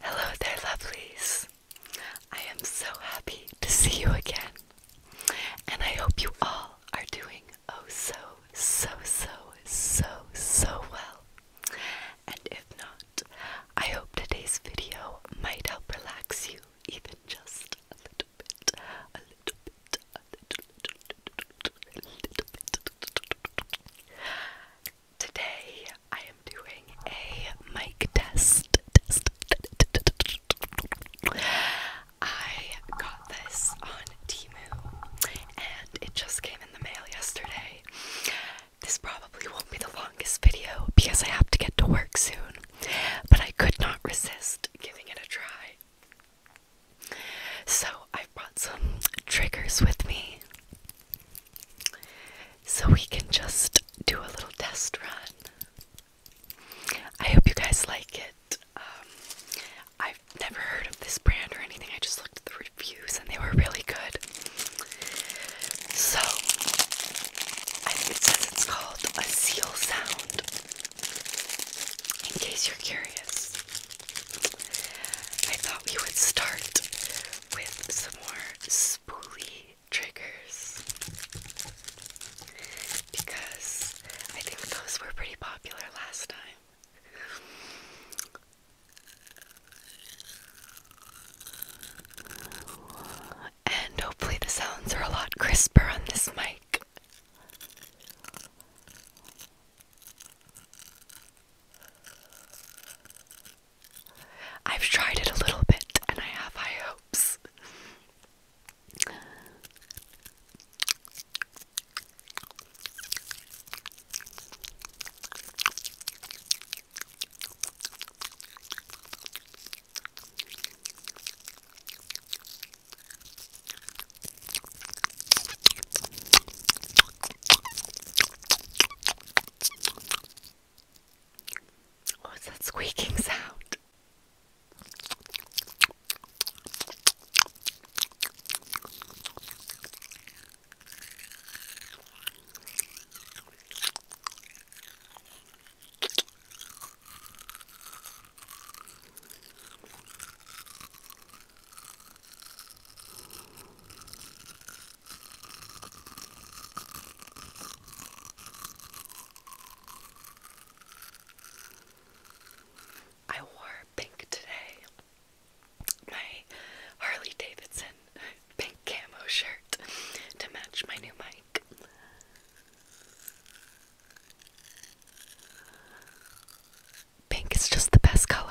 Hello there, lovelies. I am so happy to see you again, and I hope you all are doing oh so, so, so, so, so well. And if not, I hope today's video might help relax you even just a little bit, a little bit, a little, bit today I am doing a mic test. I got this on Timu and it just came in the mail yesterday. This probably won't be the longest video because I have to get to work soon, but I could not resist giving it a try. So, I brought some triggers with me. So we can just do a little test run. I hope you guys like it. Um, I've never heard of this brand or anything. I just looked at the reviews and they were really good. So I, think it says it's called a seal sound. In case you're curious. I thought we would start with some more spoolie triggers because I think those were pretty popular last time. And hopefully, the sounds are a lot crisper on this mic. I've tried it a little bit and I have high hopes. What's that squeaking sound? I wore pink today. My Harley Davidson pink camo shirt to match my new mic. Pink is just the best color.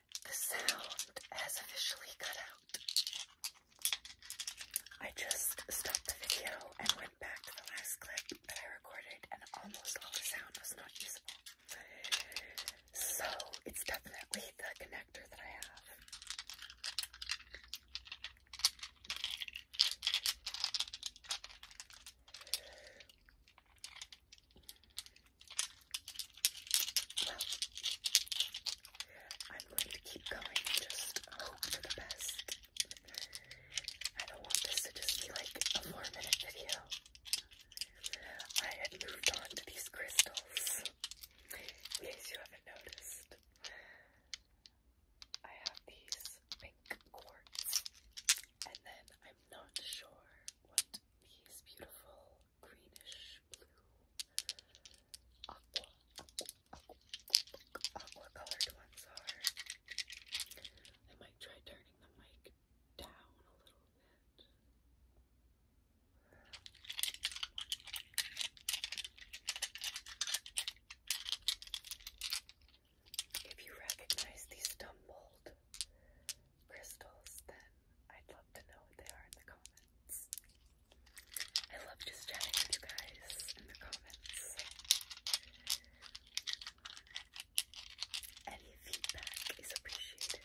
the sound has officially cut out. I just stopped the video and went back to the last clip that I recorded, and almost all the sound was not usable. So it's definitely the connector that I have. Well, I'm going to keep going just hope for the best. I don't want this to just be like a four minute video. I had moved on to these crystals, in case you haven't noticed. I have these pink quartz, and then I'm not sure what these beautiful greenish blue aqua, aqua, colored ones are. I might try turning the mic down a little bit. If you recognize these stumbled crystals, then I'd love to know what they are in the comments. I love just chatting with you guys in the comments. Any feedback is appreciated.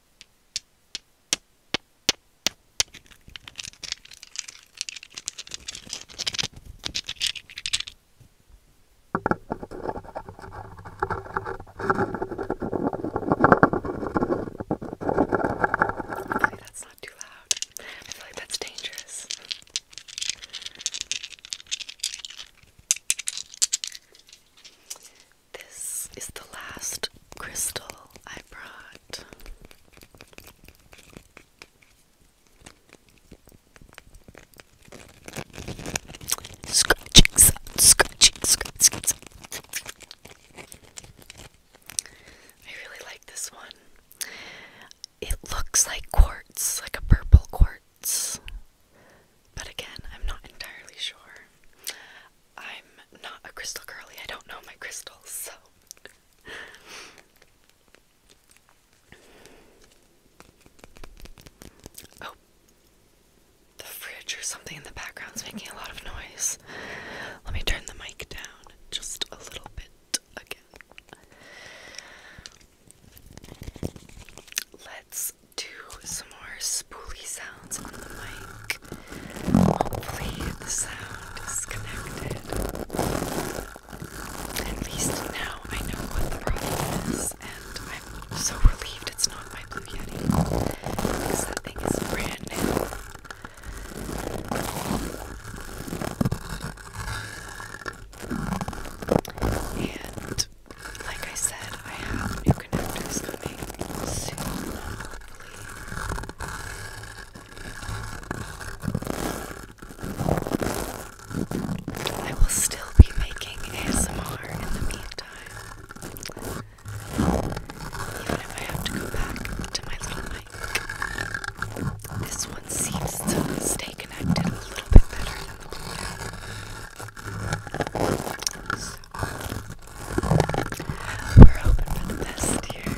Hopefully that's not too loud. I feel like that's dangerous. This is the last crystal I brought. Scratching scratching, scratching I really like this one. It looks like quartz, like a purple quartz. But again, I'm not entirely sure. I'm not a crystal curly. I don't know my crystals, so. oh. The fridge or something in the background's making a lot of noise. Let me turn the mic down just a little bit again. Let's do some more spoolie sounds on the mic. Hopefully, the sound is connected. At least now I know what the problem is, and I'm so relieved it's not my Blue Yeti because that thing is brand new. And like I said, I have new connectors coming soon, I will still be making ASMR in the meantime. Even if I have to go back to my little mic. This one seems to stay connected a little bit better we're hoping for the best here.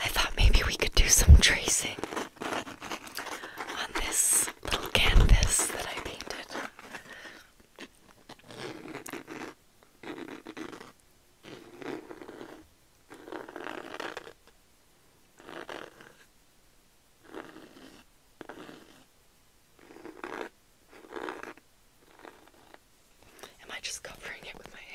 I thought maybe we could do some tracing on this little canvas that I painted. Am I just covering it with my hand?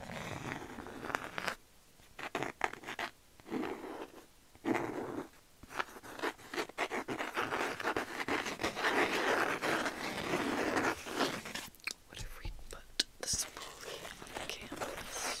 What if we put the spoolie on the canvas?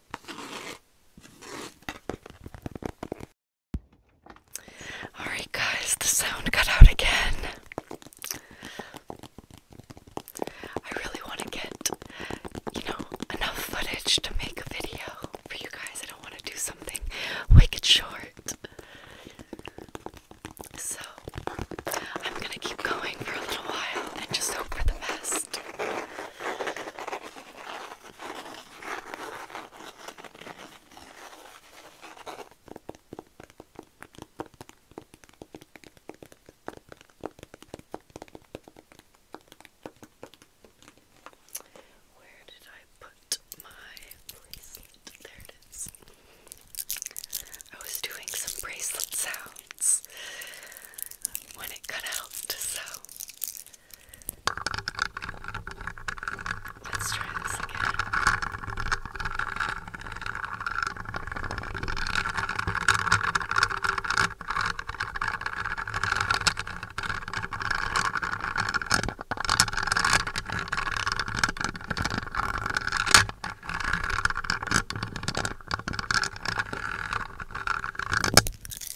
Alright, guys, the sound cut out again. I really want to get, you know, enough footage to make a video for you guys. I don't want to do something wicked short. So, I'm gonna keep going for a little while and just hope for the best. Where did I put my bracelet? There it is. I was doing some bracelet sounds when it cut out, so Let's try this again.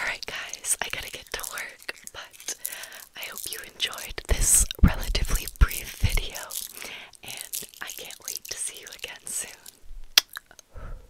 Alright, guys, I gotta get to work, but I hope you enjoyed this relatively brief video, and I can't wait to see you again soon.